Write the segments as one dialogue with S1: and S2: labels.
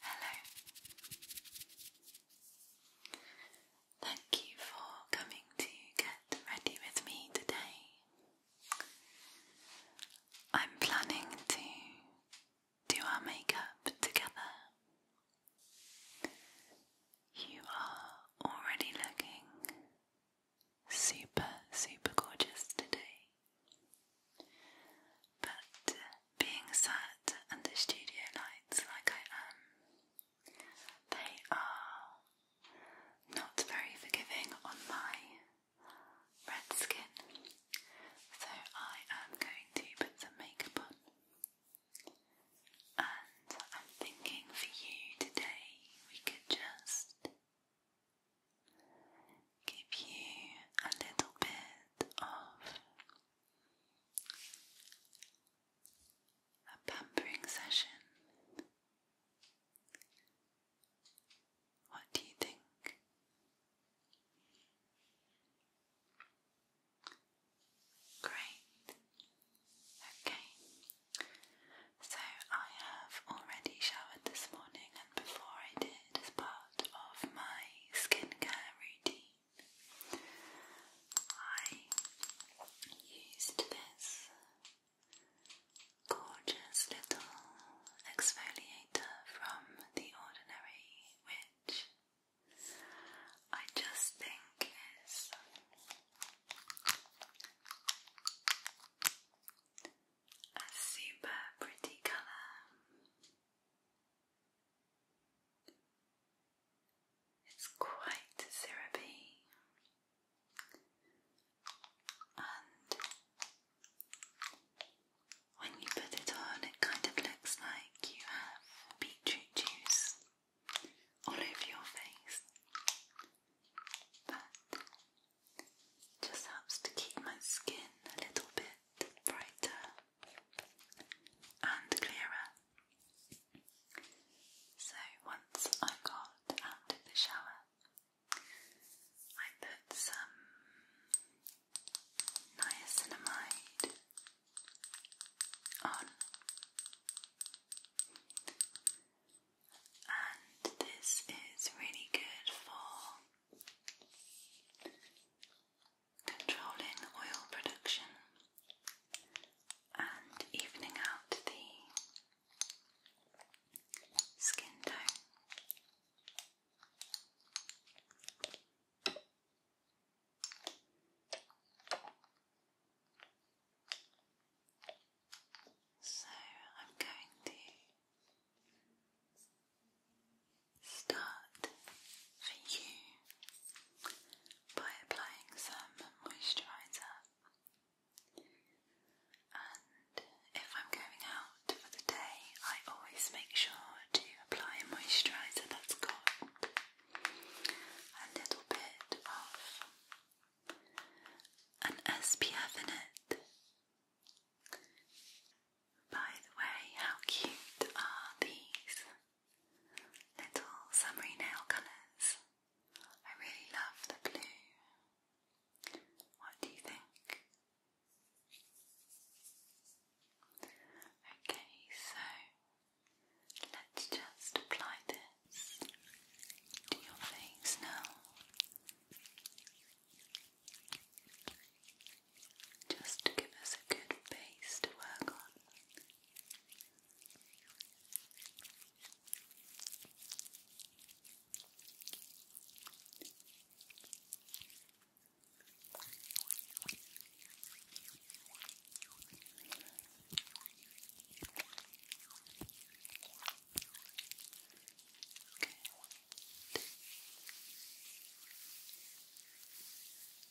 S1: Hello. Thank you for coming to get ready with me today. I'm planning to do our makeup together. You are already looking super, super gorgeous today. But being sat under studio lights like I am, they are not very forgiving on my red skin, so I am going to put some makeup on. And I'm thinking for you today, we could just give you a little bit of a pampering session. What do you think? Great. Okay. So I have already showered this morning, and before I did, as part of my skincare routine, I used this gorgeous little exfoliator from The Ordinary, which I just think is a super pretty colour. It's quite syrupy and when you put it on it kind of looks like you have beetroot juice all over your face but just helps to keep my skin a little bit brighter and clearer. So once I got out of the shower, I put some niacinamide on, and this is really good for controlling oil production and evening out the skin tone. So I'm going to Start for you by applying some moisturiser. And if I'm going out for the day, I always make sure to apply a moisturiser that's got a little bit of an SPF in it. By the way, how cute are these little summery nail colours? I really love the blue. What do you think? Okay, so let's just apply this to your face now just to give us a good base to work on.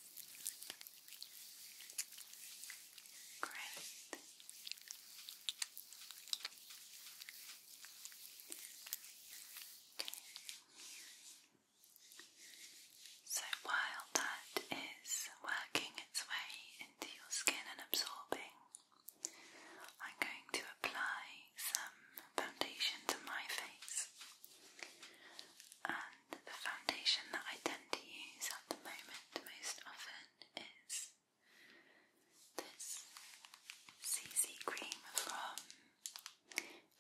S1: Great. So while that is working its way into your skin and absorbing, I'm going to apply some foundation to my face the foundation that I tend to use at the moment most often is this CC cream from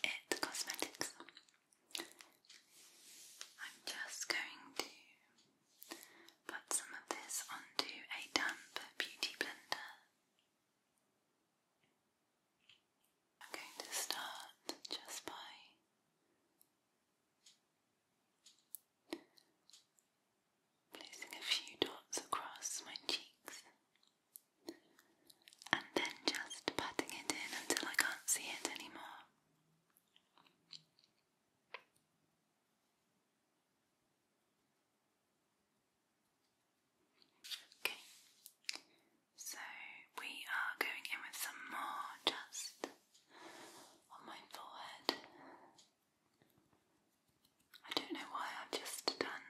S1: It Cosmetics. I'm just going to put some of this onto a damp beauty blender. I'm going to start just by placing a few dots across my cheeks and then just patting it in until I can't see it anymore. Okay, so we are going in with some more just on my forehead. I don't know why I've just done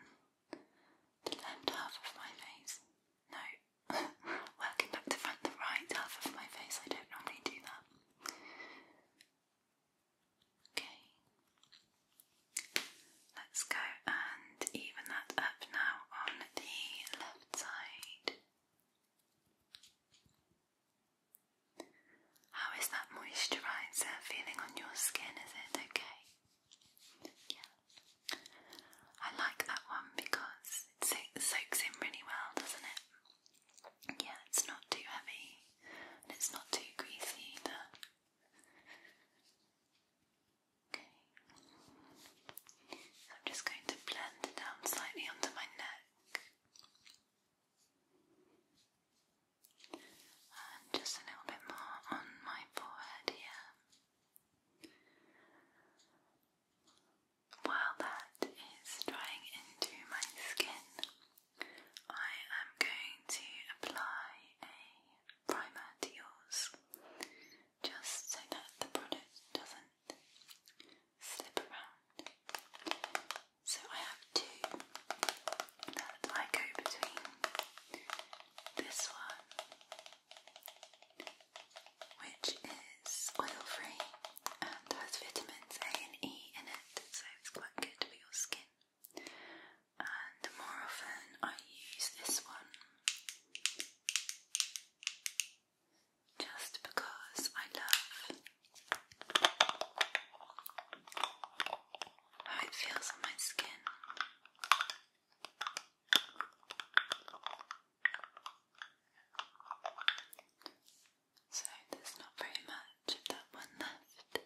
S1: the left half of my face. No, working back to front, the right half of my face. I don't normally do that. Okay, let's go and even that up now on the left side. How is that moisturiser feeling on your skin? Is it okay? Yeah. I like that one because it soaks in really well, doesn't it? Yeah, it's not too heavy and it's not too greasy either. Okay. I'm just going to blend it down slightly under my neck just a little bit more on my forehead here. While that is drying into my skin, I am going to apply a primer to yours just so that the product doesn't slip around. So I have two that I go between. This one, which is oil free and has vitamins A and E in it, so it's quite good for your skin. And more often I use this one just because I love how it feels on my skin. So there's not very much of that one left,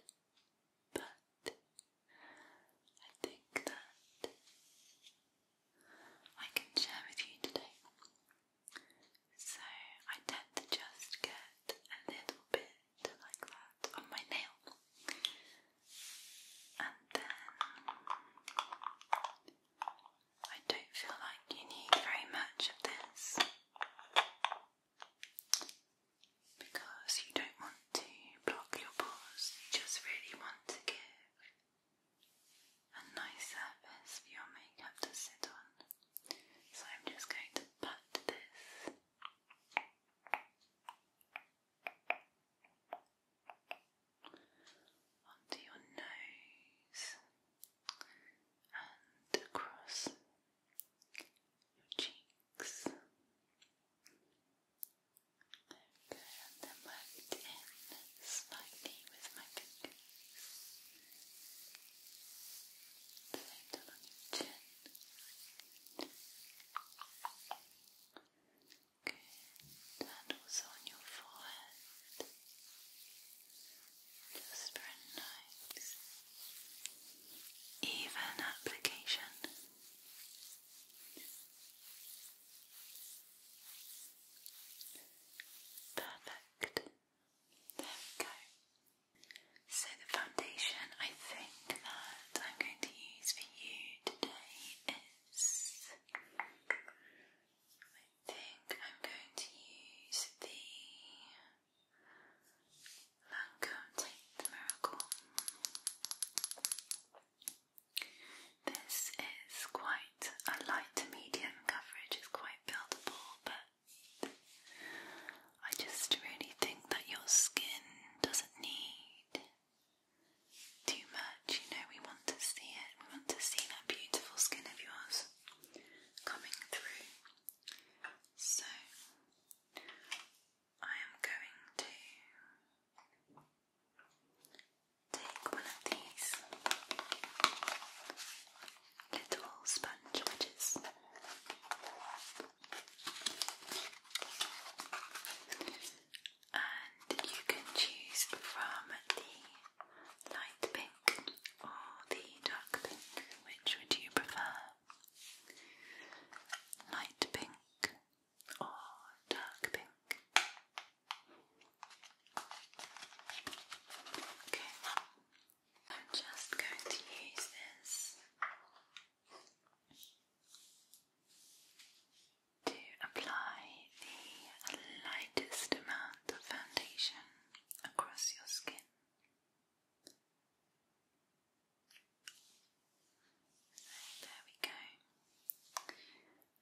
S1: but I think that I can share with you today. So I tend to just get a little bit like that on my nail. And then I don't feel like you need very much of this because you don't want to block your pores, you just really want to give a nice surface for your makeup to sit on. So I'm just going to pat this. Onto your nose and across your cheeks. There we go, and then in slightly with my fingers. Play on your chin. Good. And also on your forehead. Just for nice, even application. Perfect. There we go. So the foundation I think that I'm going to use for you today is I think I'm going to use the Lancome Take Miracle. This is quite a light medium coverage, it's quite buildable, but I just really think that your skin doesn't need too much. You know, we want to see it, we want to see that beautiful skin of yours coming through. So, I am going to take one of these little sponge And you can choose from the light pink or the dark pink. Which would you prefer? Light pink or dark pink? Okay, I'm just going to use this to apply the lightest amount of foundation across your skin. There we go.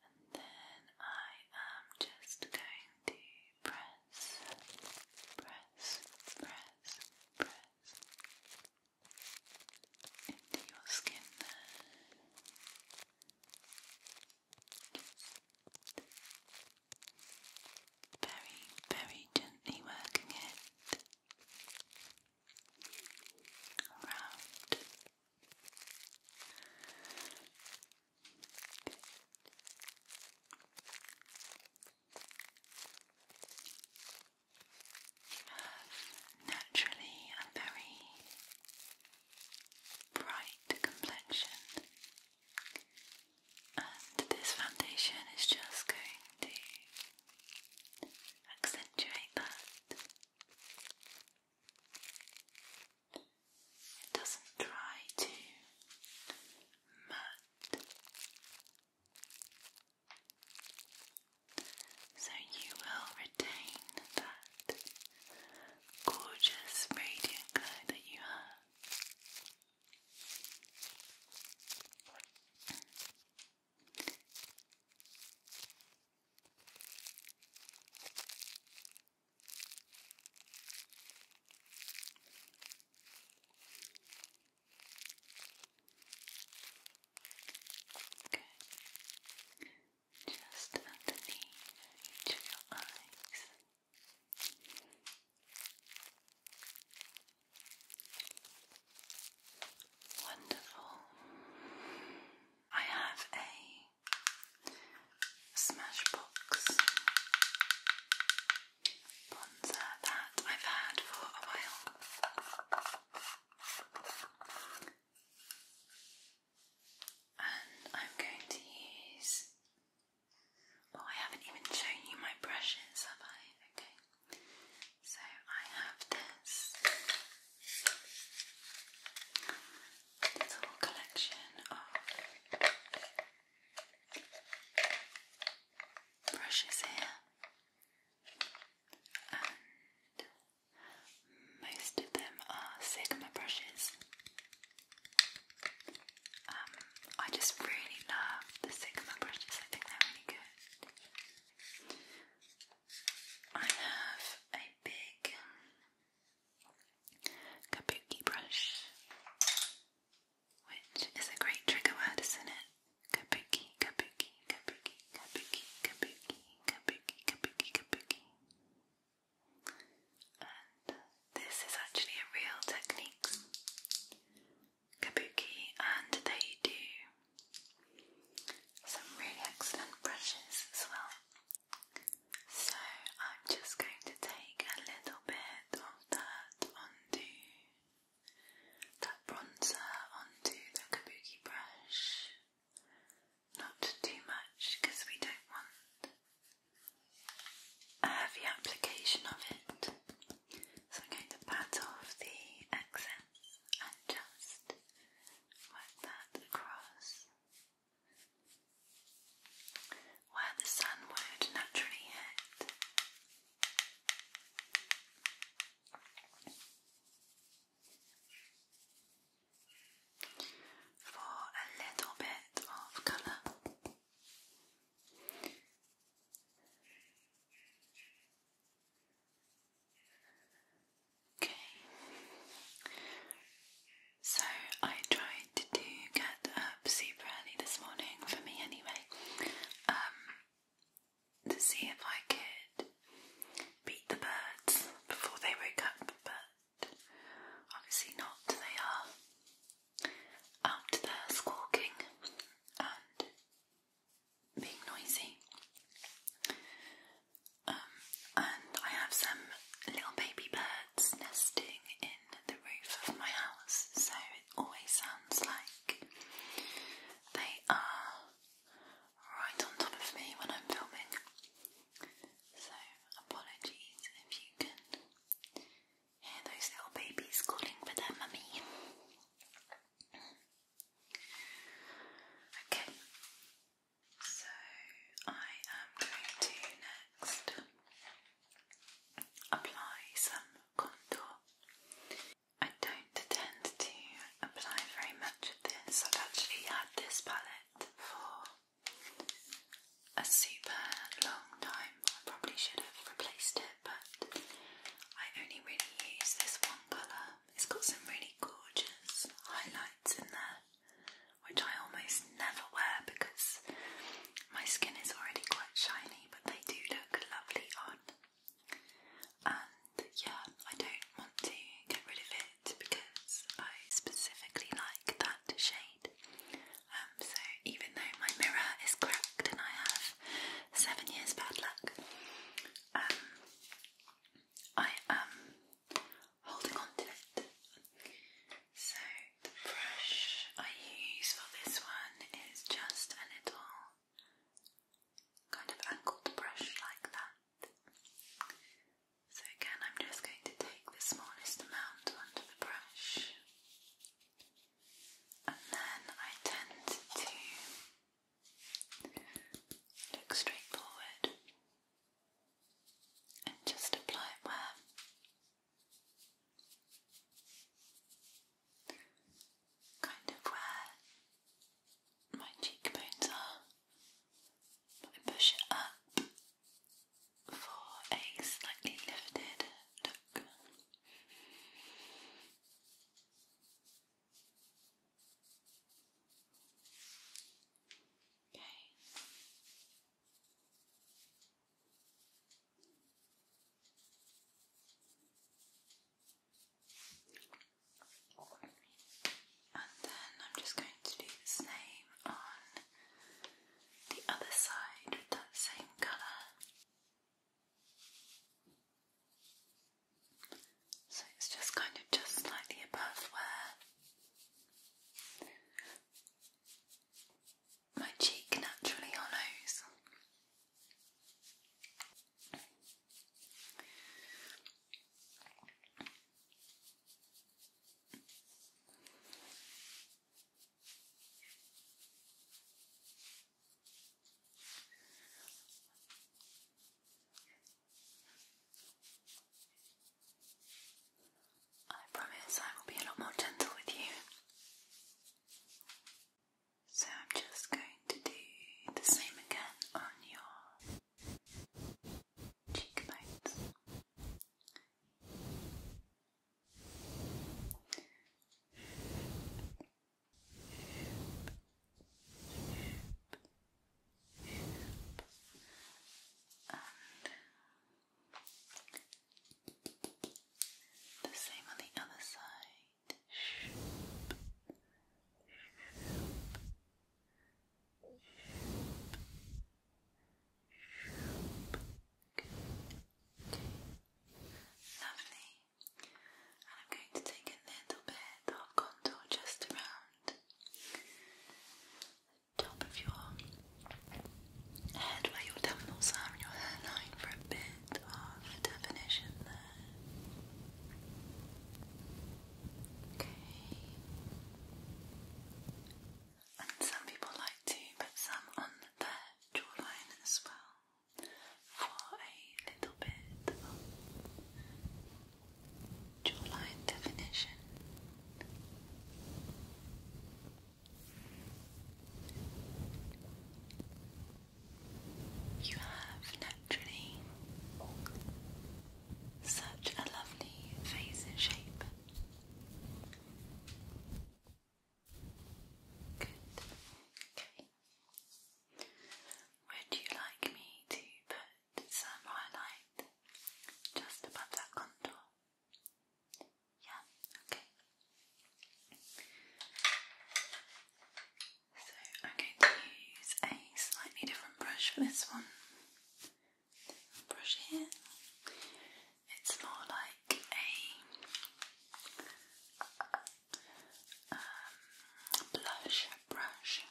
S1: And then I am just going to press press, press, press into your skin very, very gently working it around. Naturally, a very bright complexion, and this foundation is just going to accentuate that. It doesn't try to mud. So you will retain that gorgeous radiant glow that you have. Good. Just underneath your eyes. Wonderful. I have a Smashbox bronzer that I've had for a while. And I'm going to use. Oh, I haven't even shown you my brushes, have I? Okay. So I have this little collection of brushes here, and most of them are Sigma brushes. Um, I just really love the Sigma brushes, I think they're really good. I have a big kabuki brush which is a great trigger word, isn't it? Kabuki, kabuki, kabuki, kabuki, kabuki, kabuki, kabuki, kabuki. And this is actually a real technique, kabuki, and they do some really excellent brushes as well. So I'm just going to take a little bit of that on onto that bronzer onto the kabuki brush. Not too much because we don't want a heavy application of it. So I'm going to pat off the excess and just work that across where the sun would naturally hit. For a little bit of colour. Okay, so I tried to get up super early this morning for me anyway, um, to see if I could beat the birds before they woke up, but obviously not. They are out there squawking and being noisy. Um, and I have some little baby birds nesting in the roof of my house, so it always sounds like they are right on top of me when I'm filming. So, apologies if you can hear those little babies calling for their mummy. Okay, so I am going to next apply some contour. I don't tend to apply very much of this. I've actually had this palette for a super long time. I probably should have replaced it, but I only really use this one colour. It's got some really gorgeous highlights in there, which I almost never wear because my skin is already quite shiny but they do look lovely on. And yeah, I don't want to get rid of it because I specifically like that shade. Um, so even though my mirror is cracked and I have seven years bad luck, um, I am holding on to it. So the brush I use for this one is just a little kind of angled brush like that. So again, I'm just going to take the smallest amount onto the brush. And then I tend to look straight forward and just apply it where Kind of where my cheekbones are, I push it up for a slightly lifted look. Okay. And then I'm just going to do the same on the other side with that same colour. So it's just kind of just slightly above where my cheek naturally hollows. I promise I will be a lot more gentle with you. So I'm just going to do the same again on your cheekbones. The same on the other side. Lovely. I'm going to take a little bit of contour just around the top of your head where your temples are and your hairline for a bit of definition there. Okay. And some people like to put some on their jawline as well for a little bit of jawline definition. You have naturally such a lovely face and shape. Good. Okay. Would you like me to put some highlight just above that contour? Yeah, okay. So I'm going to use a slightly different brush for this one. brush here. It's more like a um, blush brush.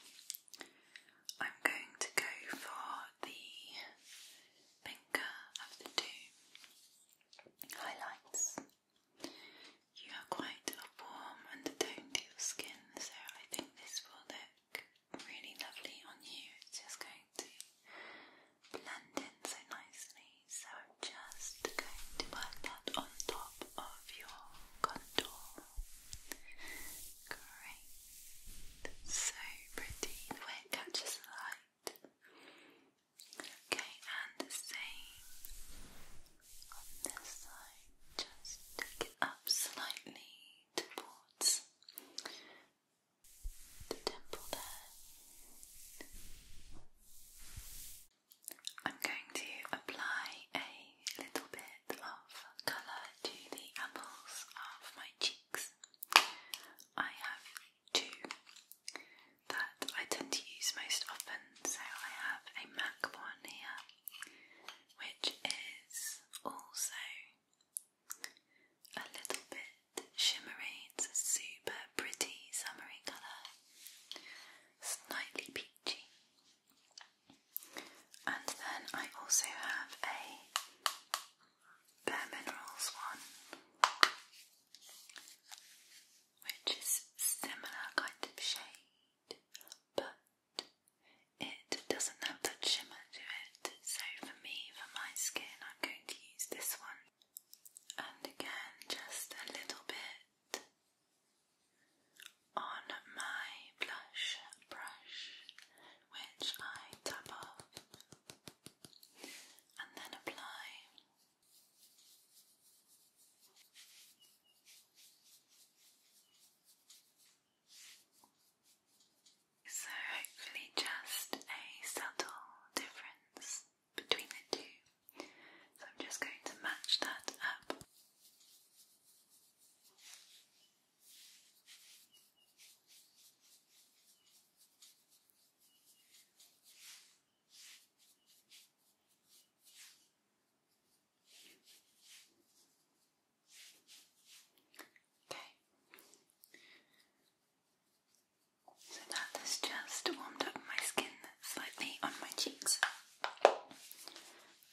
S1: I'm going to go for the pinker of the two highlights. You have quite a warm undertone to your skin, so I think this will look really lovely on you. It's just going to blend in so nicely. So I'm just going to work that on top of your contour. Great. So pretty the way it catches the light. Okay, and the same on this side. Just take it up slightly towards the temple there. I'm going to apply a little bit of colour to the apples of my cheeks. I have two that I tend to use most often. So I have a MAC one here, which is also a little bit shimmery. It's a super pretty summery colour, slightly peachy. And then I also have a Bare Minerals one which is similar kind of shade, but it doesn't have that shimmer to it. So for me, for my skin, I'm going to use this one. And again, just a little bit on my blush brush, which I tap off and then apply so, hopefully, just a subtle difference between the two. So, I'm just going to match that up. Okay. So that has just warmed up my skin slightly on my cheeks.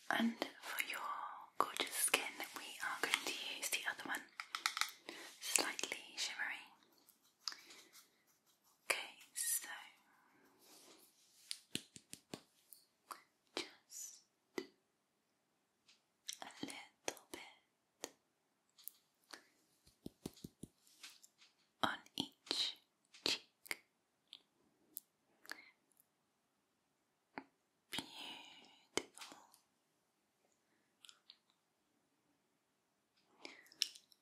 S1: And for your gorgeous skin, we are going to use the other one, slightly shimmery. Okay, so just a little bit on each cheek. Beautiful.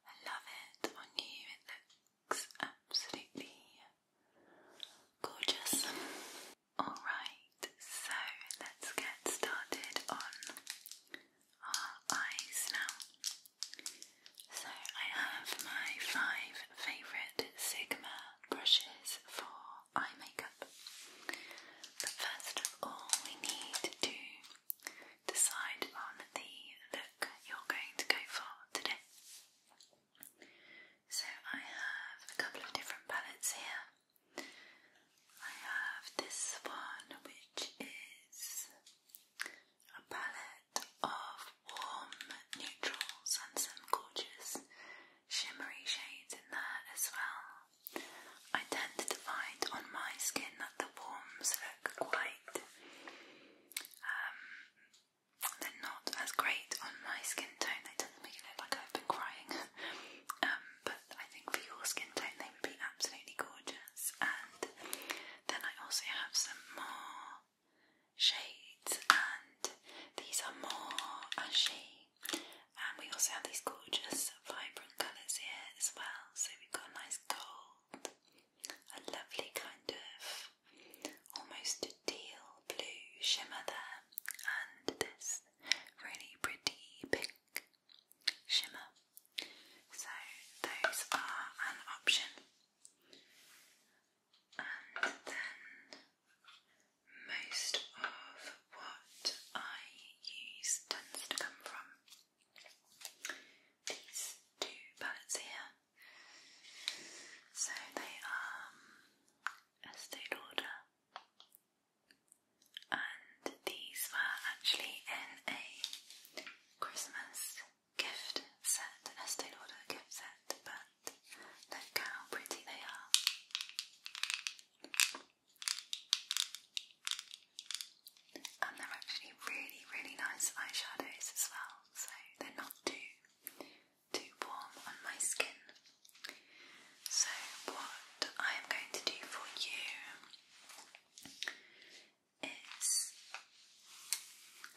S1: I love it on you, it looks absolutely gorgeous. Alright, so let's get started on our eyes now. So, I have my five favourite Sigma brushes for eye makeup. But first of all, we need to decide on the look you're going to go for today. So, I have a couple of different palettes here. I have this one, which is a palette of warm neutrals and gorgeous shimmery shades in there as well. I tend to find on my skin that the warms look quite um, they're not as great on my skin tone. They tend to make it look like I've been crying. Um, but I think for your skin tone, they would be absolutely gorgeous. And then I also have some more shades, and these are more ashy. And we also have these gorgeous vibrant colours here as well. So we've got a nice gold a lovely kind of almost a teal blue shimmer there, and this really pretty pink shimmer. So, those are an option. And then most of what I use tends to come from these two palettes here. So they are um, a state order, and these were actually in a Christmas gift set, a state order gift set, but look how pretty they are. And they're actually really, really nice eyeshadows as well so they're not too too warm on my skin. So what I am going to do for you is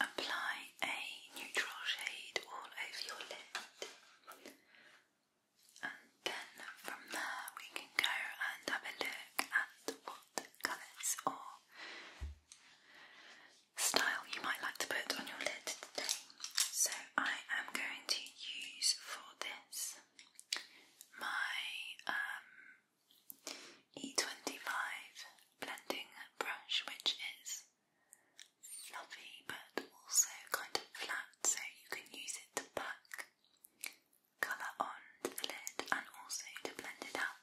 S1: apply a neutral shade all over your lid. And then from there we can go and have a look at what colours or style you might like to put on your lid today. So I am going to use for this my um, E25 blending brush, which is fluffy but also kind of flat, so you can use it to pack colour onto the lid and also to blend it out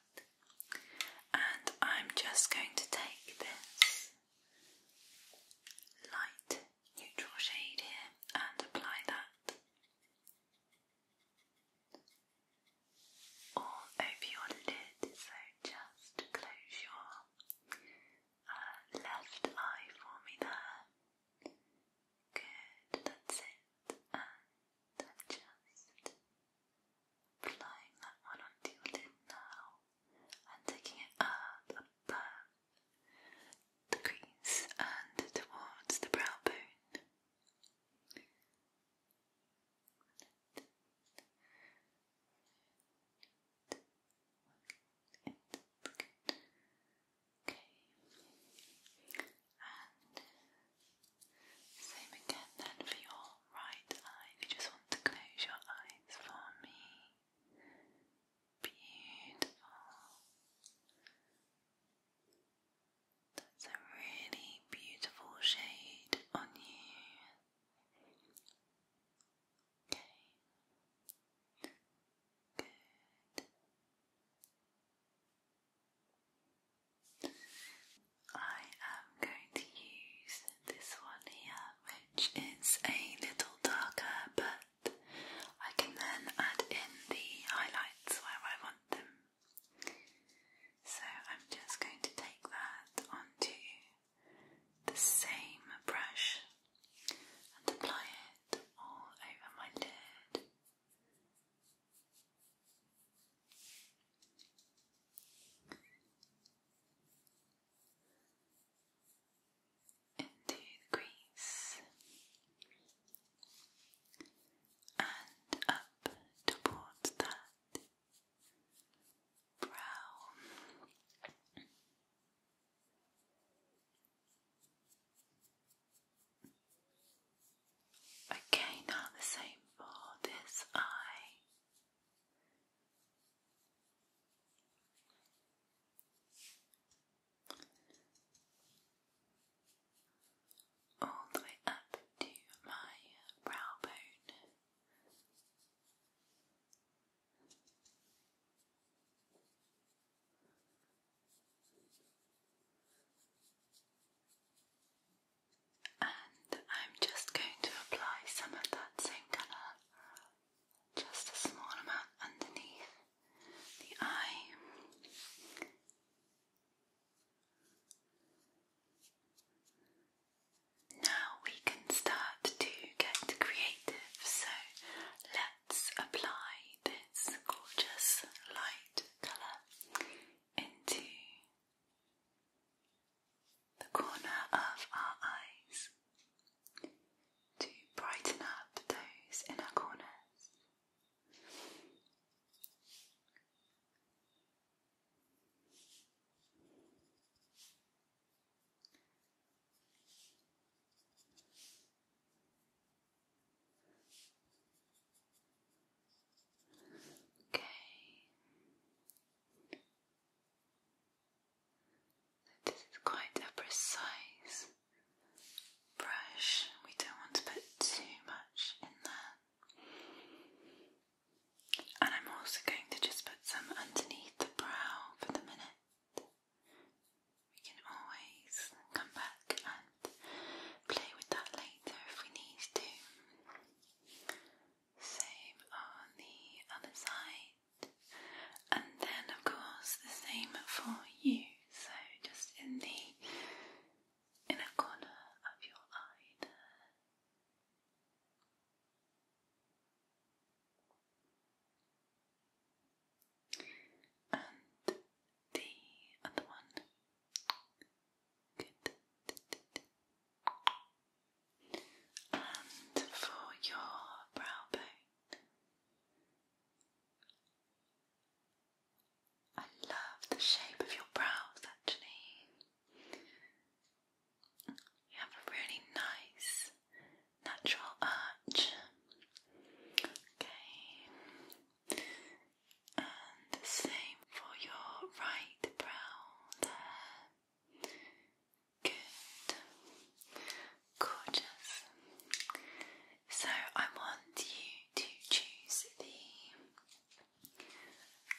S1: and I'm just going to take this light neutral shade here and apply that all over your lid. So just close your uh, left eye for me there. Good, that's it than just applying that one onto your lid now and taking it up above the crease and towards the brow bone. Okay. Same again then for your right eye. you just want to close your eyes for me. Beautiful. That's a really beautiful shade on you. Okay. Good. I am going to use this one here, which is a little darker, but I can then add in the highlights where I want them. So I'm just going to take that onto the same brush and apply it all over my lid into the crease and up towards that brow. Okay, now the same for this eye all the way up to my brow bone and I'm just going to apply some of that same colour, just a small amount underneath the eye. Now we can start to get creative, so let's apply this gorgeous light colour into the corner of our eyes to brighten up those in corners. Okay. This is quite a precise brush, we don't want to put too much in there. And I'm also going to just put some underneath the brow for the minute. We can always come back and play with that later if we need to same on the other side, and then, of course, the same for you. So, just in the inner corner of your eye there. And the other one and for your brow bone, I love the shape of your brows actually. You have a really nice natural arch. Okay. And same for your right brow there. Good. Gorgeous. So I want you to choose the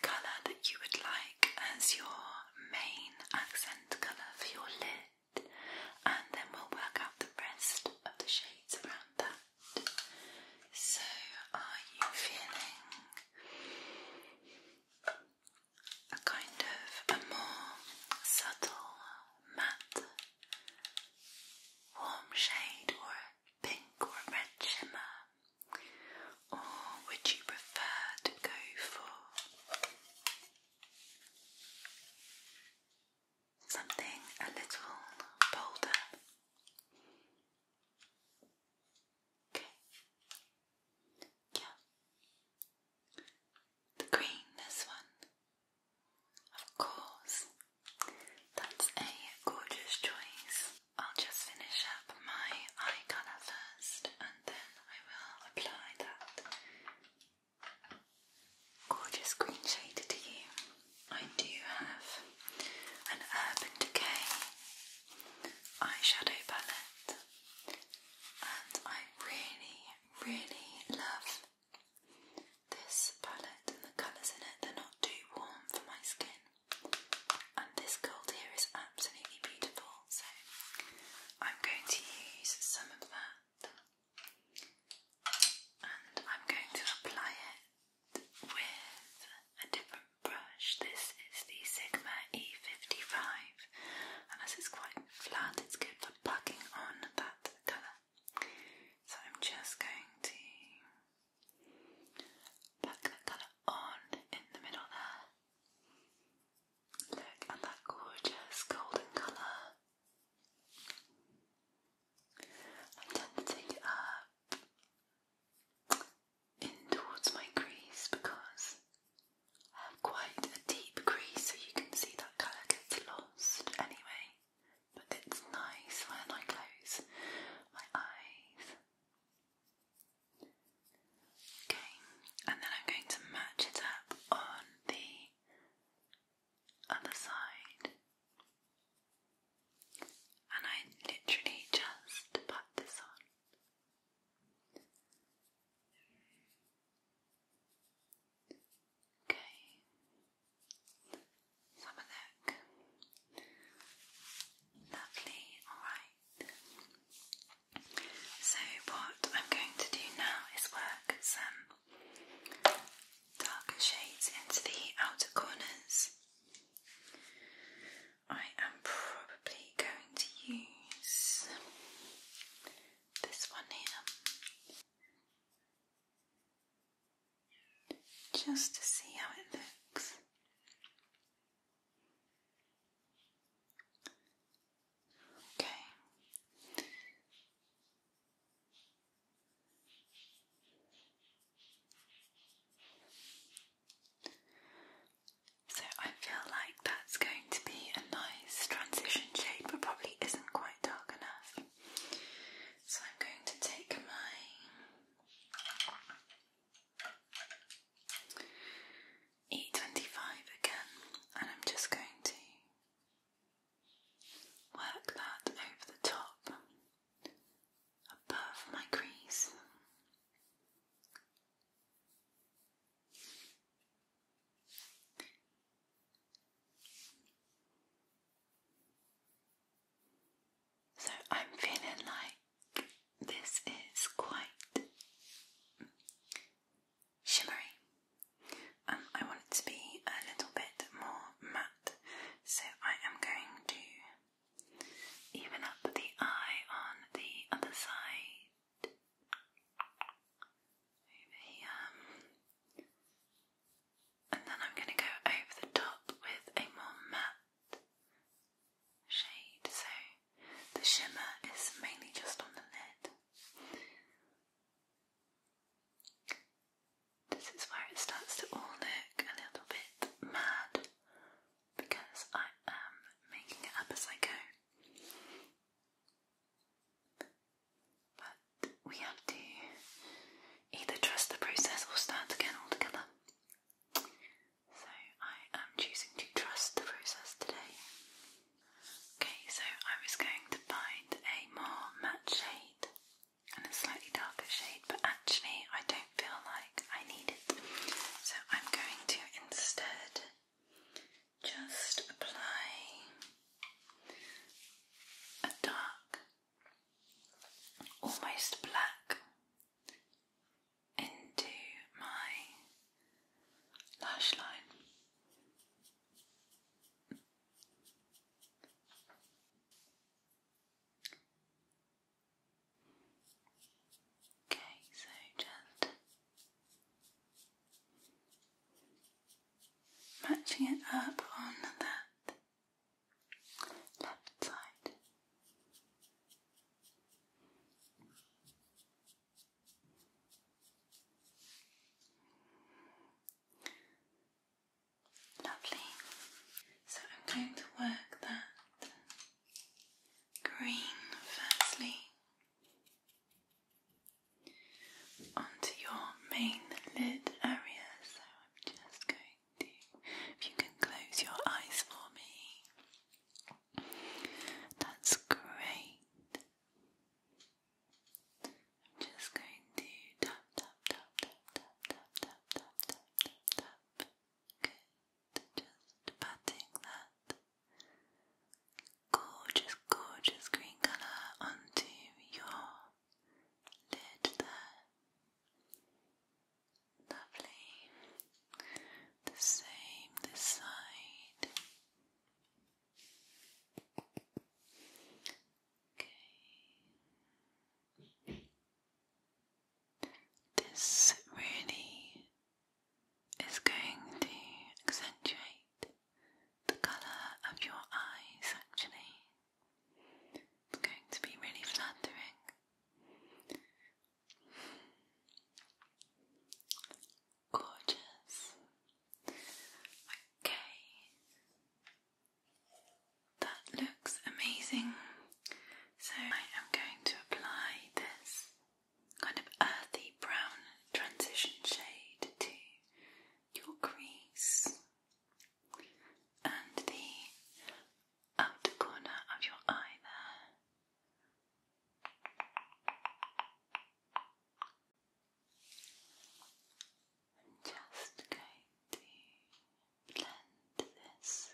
S1: colour that you would like as your main accent colour for your lid, and then we'll work out the rest of the shades around that. So, are you feeling a kind of a more subtle matte warm shade or a pink or a red shimmer? Or would you prefer to go for something a little bolder? Okay. Yeah. The green, this one. Of course. That's a gorgeous choice. I'll just finish up my eye colour first and then I will apply that gorgeous green shade to you. I do have an Urban Decay eyeshadow palette, and I really, really love this palette and the colours in it. They're not too warm for my skin, and this gold here is absolutely beautiful. So I'm going to use some of that, and I'm going to apply it with a different brush. This is the Sigma E55, and as it's quite flat, it's good for packing on that colour. So I'm just going to pluck that colour on in the middle there. Look at that gorgeous golden colour. I tend to take it in towards my crease because I have quite a deep crease, so you can see that colour gets lost anyway. But it's nice when I close my eyes. Okay, and then I'm going to match it up on the other side. And I literally just put this on. Okay. have a look. Lovely, alright. So, what I'm going to do now is work some darker shades into the outer corners. I am probably going to use this one here just to see how it looks. Okay. So I feel like that's going to be a nice transition shade, but probably isn't quite dark enough. So I'm going to take my e again, and I'm just going to work that over the top above my crease so I'm feeling like this is quite shimmery. Um, I want it to be a little bit more matte, so I am going to even up the eye on the other side. And then I'm going to go over the top with a more matte shade. So the shimmer is mainly just on the lid. This is where it starts to all look a little bit mad because I am making it up as I go. But we have to either trust the process or start again altogether. So I am choosing to trust the process today. Okay, so I was going to find a more matte shade and a slightly darker shade, but actually I don't feel like I need it. So I'm going to instead just apply a dark, almost black, into my lash line. Okay, so just Matching it up on that left side. Lovely. So I'm going to work that green firstly onto your main lid area. So I'm just going to, if you can close your eyes for me, that's great. I'm just going to tap, tap, tap, tap, tap, tap, tap, tap, tap, tap, tap. Good. Just patting that gorgeous, gorgeous green colour onto your lid there. Lovely. The same this side. Okay. This really is going to accentuate the colour of your eyes actually. It's going to be really flattering. Gorgeous. Okay. That looks amazing. So I am going to apply this kind of earthy brown transition shade to your crease and the outer corner of your eye there. I'm just going to blend this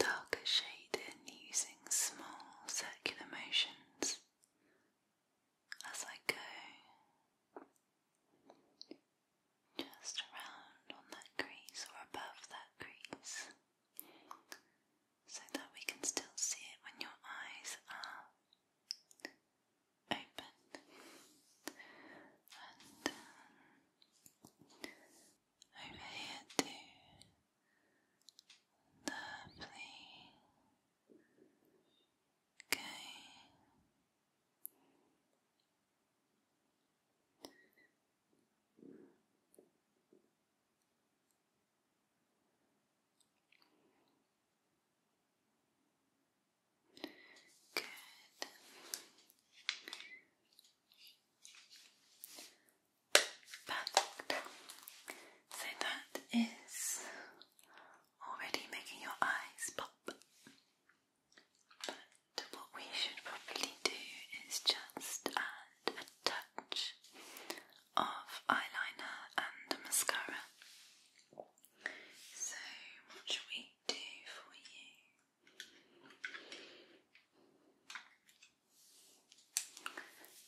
S1: darker shade in using small circular motion as I go. Just around on that crease or above that crease so that we can still see it when your eyes are open. And um, over here, too, Lovely. Okay. Good. Perfect. So that is already making your eyes pop. But what we should probably do is just add a touch of eyeliner and mascara. So, what should we do for you?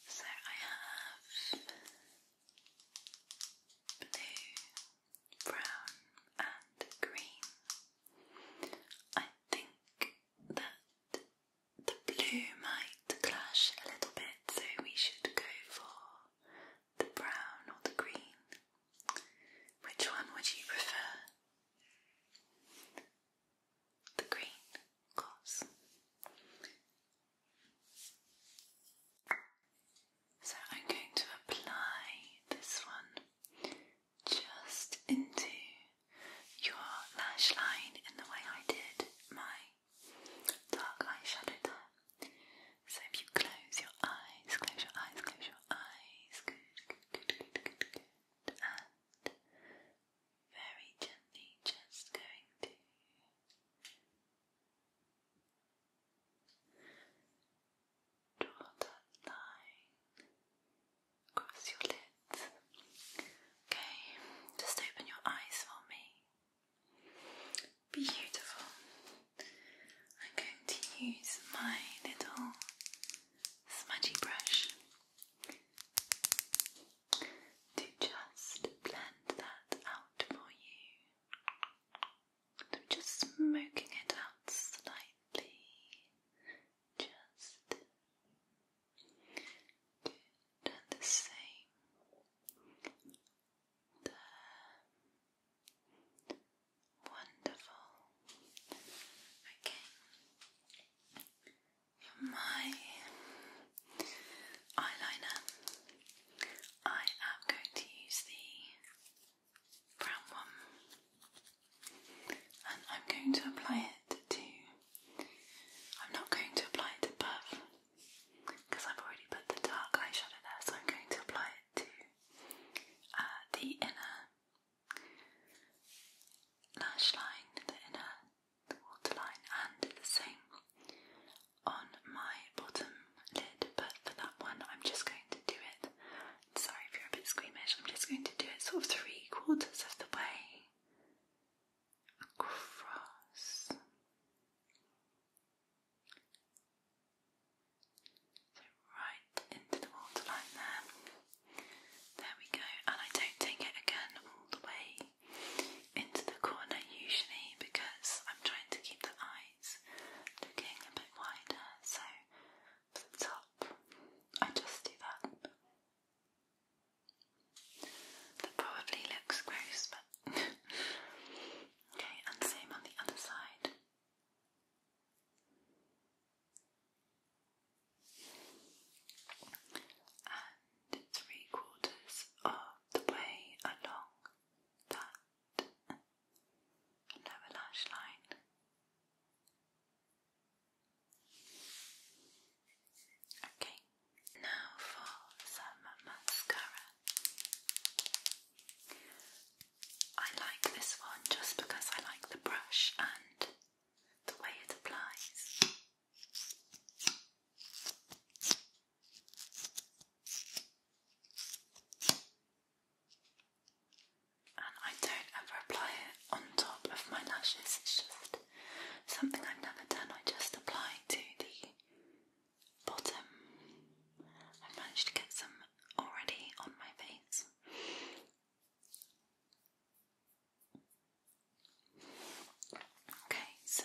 S1: So I have blue, brown, and green. I think that the blue might clash a little bit, so we should go for the brown or the green. Which one would you prefer? the green, of course. So I'm going to apply this one just into your lash line in the way I did my dark eyeshadow there. So if you close your eyes, close your eyes, close your eyes, good, good, good, good, good, good, and very gently just going to draw that line across your lids. Okay, just open your eyes for me. Beautiful. I'm going to use my little smudgy brush to just blend that out for you. I'm just smoking it out slightly. Just good and the same. There. Wonderful. Okay my eyeliner, I am going to use the brown one and I'm going to apply it to. I'm not going to apply it above because I've already put the dark eyeshadow there, so I'm going to apply it to uh, the inner lash line, the inner the waterline and the same on my bottom lid, but for that one I'm just going to do it. Sorry if you're a bit squeamish, I'm just going to do it sort of three quarters of the way across. So right into the waterline there. There we go, and I don't take it again all the way into the corner usually because I'm trying to keep the eyes looking a bit wider, so the top, I just do that. That probably looks gross, but okay, and same on the other side. And three quarters of the way along that lower lash line. Okay, now for some mascara. I like this one just because I like the brush and the way it applies. And I don't ever apply it on top of my lashes, it's just something I've never done. I just apply to the bottom. i managed to get some already on my face. Okay, so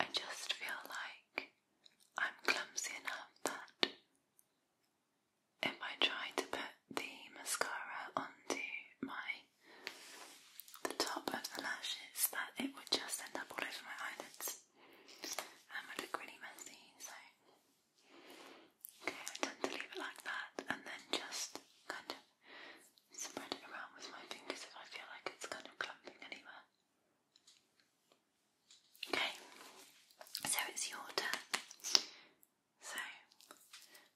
S1: I just feel like I'm clumsy enough that if I try to put the mascara onto my the top of the lashes that it would just end up all over my eyelids and would look really messy so okay I tend to leave it like that and then just kind of spread it around with my fingers if I feel like it's kind of clumping anywhere. Okay, so it's your turn. So,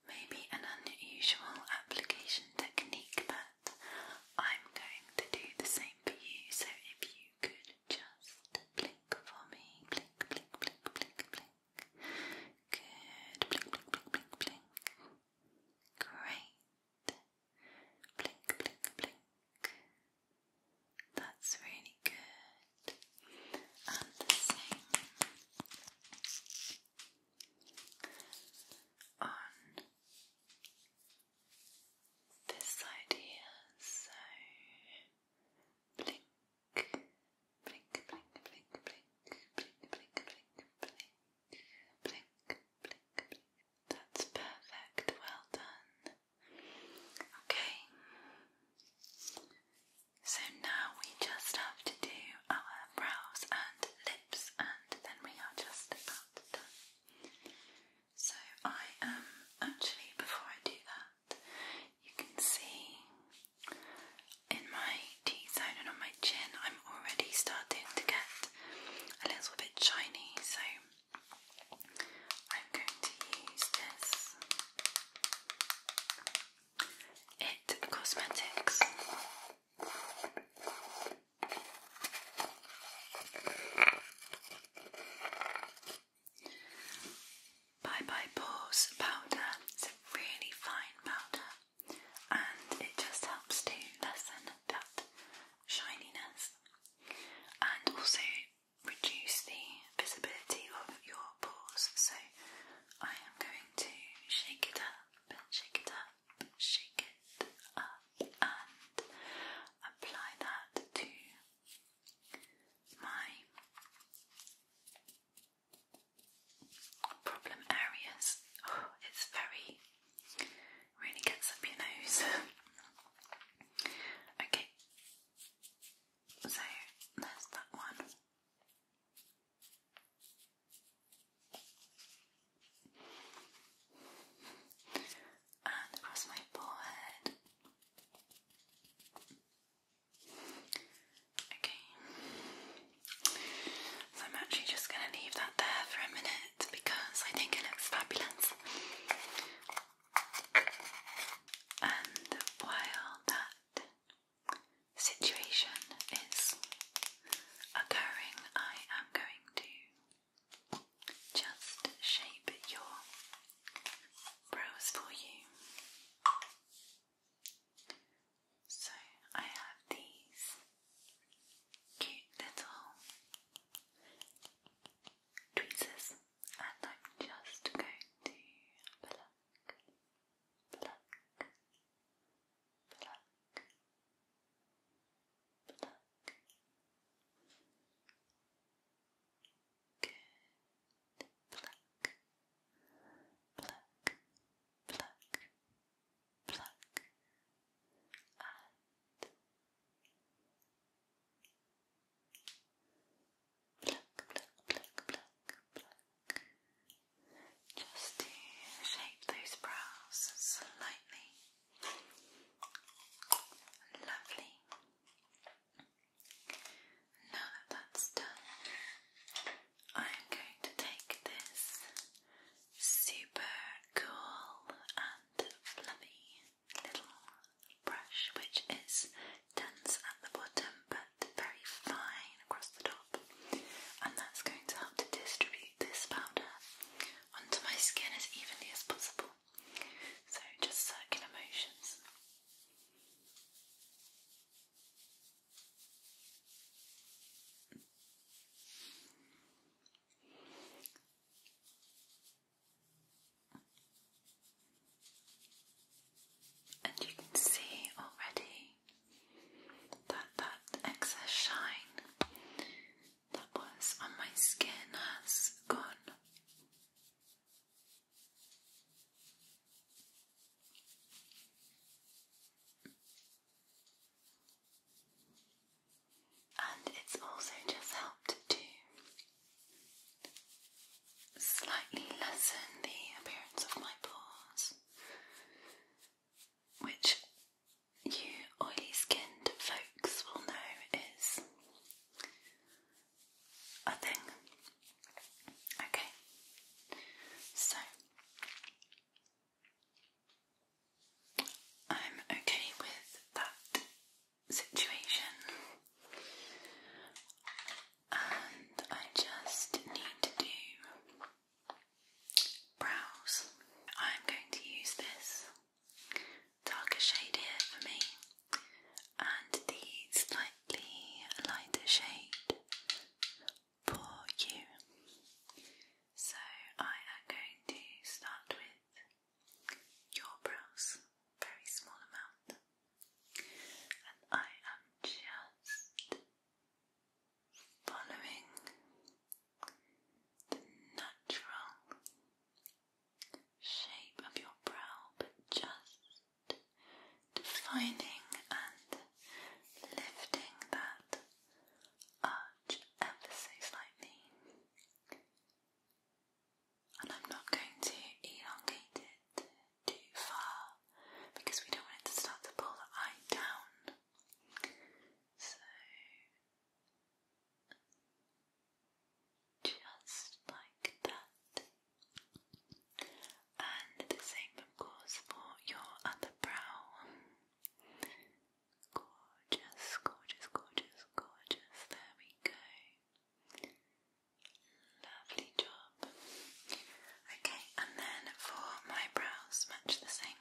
S1: maybe an unusual application technique, but I'm going to do the same for you. So, if you could just blink for me, blink, blink, blink, blink, blink. Good, blink, blink, blink, blink. Great. Blink, blink, blink. That's really good. And the same on this side here. So blink, blink, blink, blink, blink, blink, blink, blink, blink. Blink, blink, blink. That's perfect. Well done. Okay. So now we just have to do our brows and lips, and then we are just about done. So I am actually, before I do that, you can see in my T and on my chin, I'm already starting to get a little bit shiny, so I'm going to use this It Cosmetics. Bye Bye Pores powder. It's a really fine powder and it just helps to lessen that shininess and also reduce the visibility of your pores. So I am going to shake it up, shake it up, shake it up, and apply that to my problem areas. Oh, it's very Really gets up your nose. okay, so there's that one. And across my forehead. Okay. So I'm actually just going to leave that there for a minute because I think it looks fabulous. And while that situation is occurring, I am going to just shape your brows for you. So I have these cute little tweezers, and I'm just going to pluck, pluck, pluck, pluck. Pluck, pluck, pluck, pluck, pluck Just to shape those brows slightly. Lovely. Now that that's done, I'm going to take this super cool and fluffy little brush which is dense at the bottom but very fine across the top and that's going to help to distribute this powder onto my skin as evenly as possible so just circular motions and you can see already that that excess shine that was on my skin has gone and it's also just helped to slightly lessen the appearance of my pores, which you oily skinned folks will know is a thing. Okay, so I'm okay with that situation, and I just need to do brows. I'm going to use this darker shade here for me, and the slightly lighter shade for you. So I am going to start with your brows, very small amount, and I am just following the natural shape of your brow, but just defining and lifting that. Up much emphasis lightly, and I'm not going to elongate it too far because we don't want it to start to pull the eye down. So just like that. And the same, of course, for your other brow. Gorgeous, gorgeous, gorgeous, gorgeous. There we go. Lovely job. Okay, and then for my brows, match the same.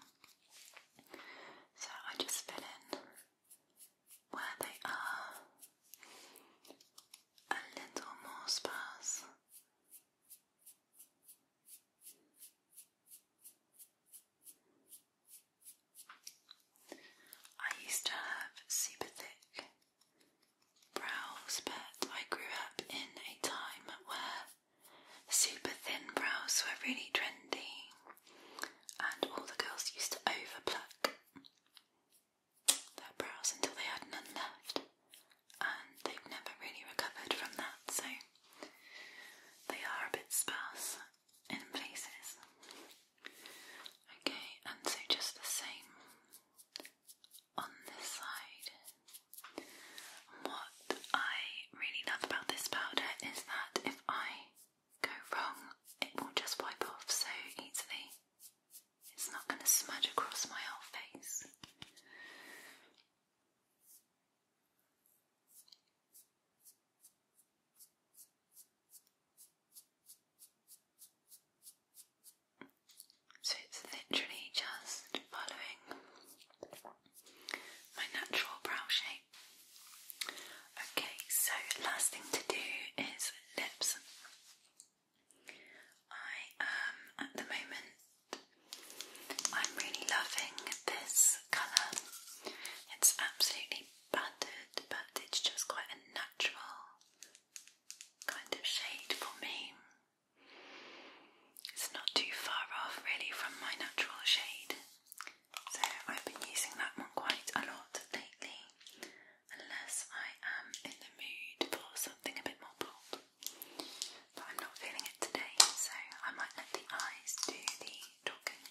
S1: So I just fill in where they are a little more sparse. I used to have super thick brows, but I grew up in a time where super thin brows were really trendy, and all the girls used to overpluck their brows until they had none left, and they've never really recovered from that, so they are a bit sparse in places. Okay, and so just the same on this side. What I really love about this powder is that if I go wrong, it will just wipe off so easily. It's not going to smudge across my whole face. So it's literally just following my natural brow shape. Okay, so last thing to do is lips. I am um, at the moment I'm really loving this colour. It's absolutely battered, but it's just quite a natural kind of shade for me. It's not too far off really from my natural shade, so I've been using that one quite a lot lately, unless I am in the mood for something a bit more bold. But I'm not feeling it today, so I might let the eyes do the talking.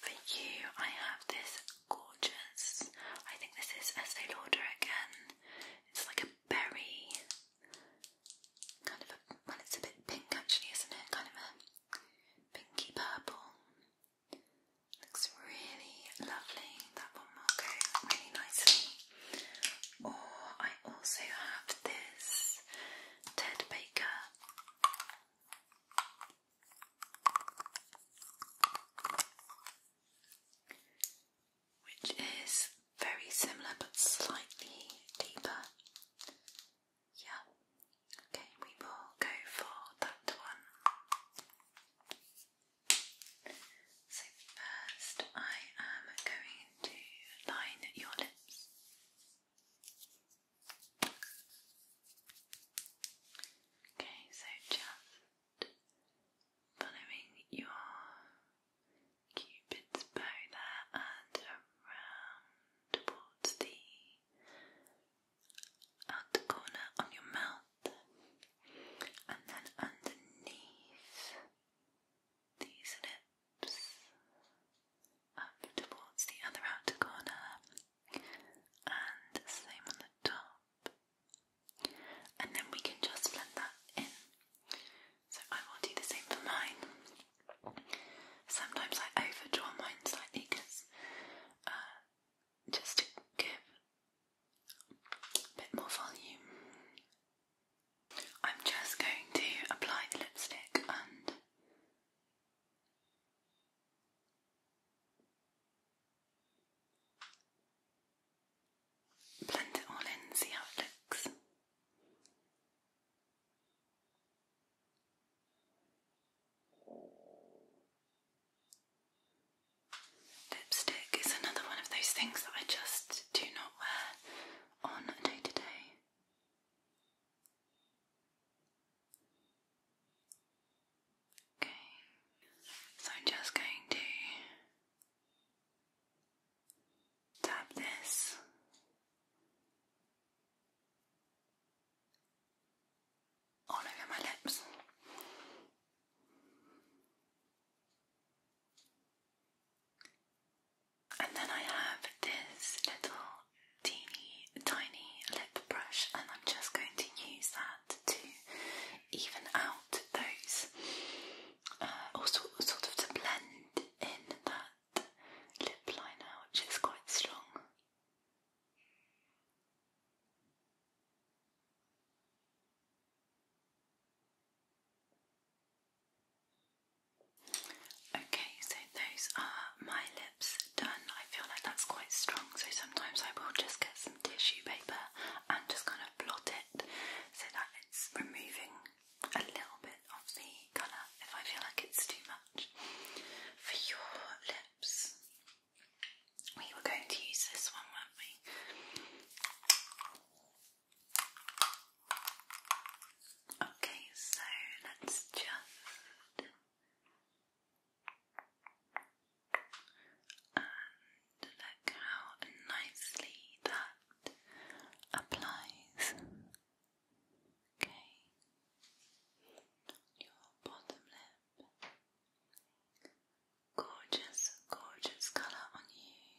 S1: For you, I have this gorgeous, I think this is Estee Lauder again. It's like a berry, kind of a, well, it's a bit pink actually, isn't it? Kind of a pinky purple. Looks really lovely. That one will really nicely. Or I also have this Ted Baker which is very similar but slightly deeper. Yeah, okay, we will go for that one. So, first, I am going to line your lips. Okay, so just following your cupid's bow there and around towards the outer corner of your mouth and then underneath these lips up towards the other outer corner and same on the top, and then we can just blend that in. So I will do the same for mine. Sometimes I overdraw mine slightly because uh, just to give a bit more volume. I'm just going to apply the lipstick and Blend it all in, see how it looks. Lipstick is another one of those things that I just do not wear on a day to day. Okay, so I'm just going to tap this all over my lips. And then I have this little teeny tiny lip brush and I'm just going to use that to even out those uh, sort of to blend in that lip liner which is quite strong. Okay, so those are my lips done. I feel like that's quite strong, so sometimes I will just get some tissue paper and just kind of blot it so that it's removing a little bit of the colour if I feel like it's too much. For your lips, we were going to use this one, weren't we? Okay, so let's just and look how nicely that applies. Okay, your bottom lip. Gorgeous, gorgeous colour on you.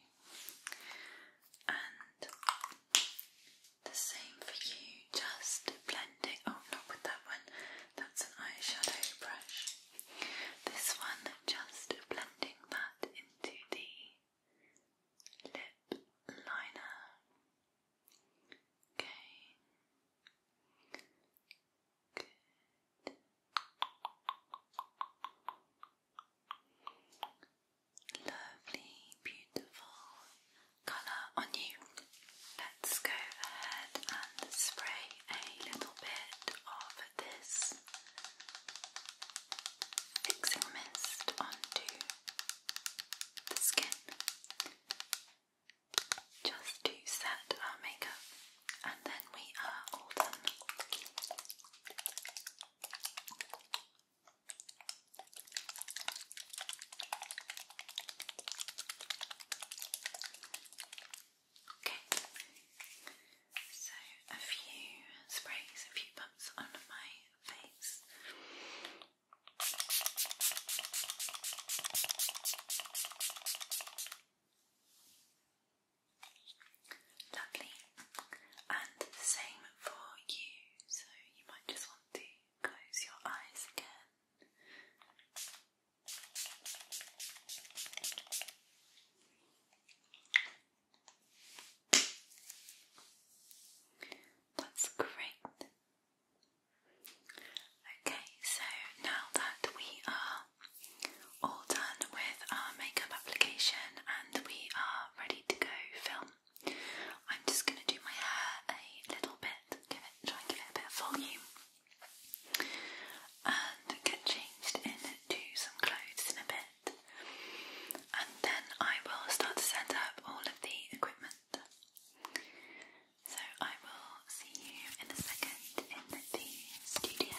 S1: And the same for you, just blending. Oh, not with that one. That's an eyeshadow brush. This one just blending that into the lip liner. Okay. Good. Lovely, beautiful colour on you. Let's go ahead and spray a little bit of this fixing mist onto the skin just to set our makeup and then we are all done. Okay, so a few sprays, a few bumps on my face. Lovely, and same for you, so you might just want to close your eyes again that's great. Okay, so now that we are all done with our makeup application and we are ready to go film, I'm just going to do my hair a little bit give it, try and give it a bit of volume, and get changed into some clothes in a bit, and then I will start to set up all of the equipment. So I will see you in a second in the studio.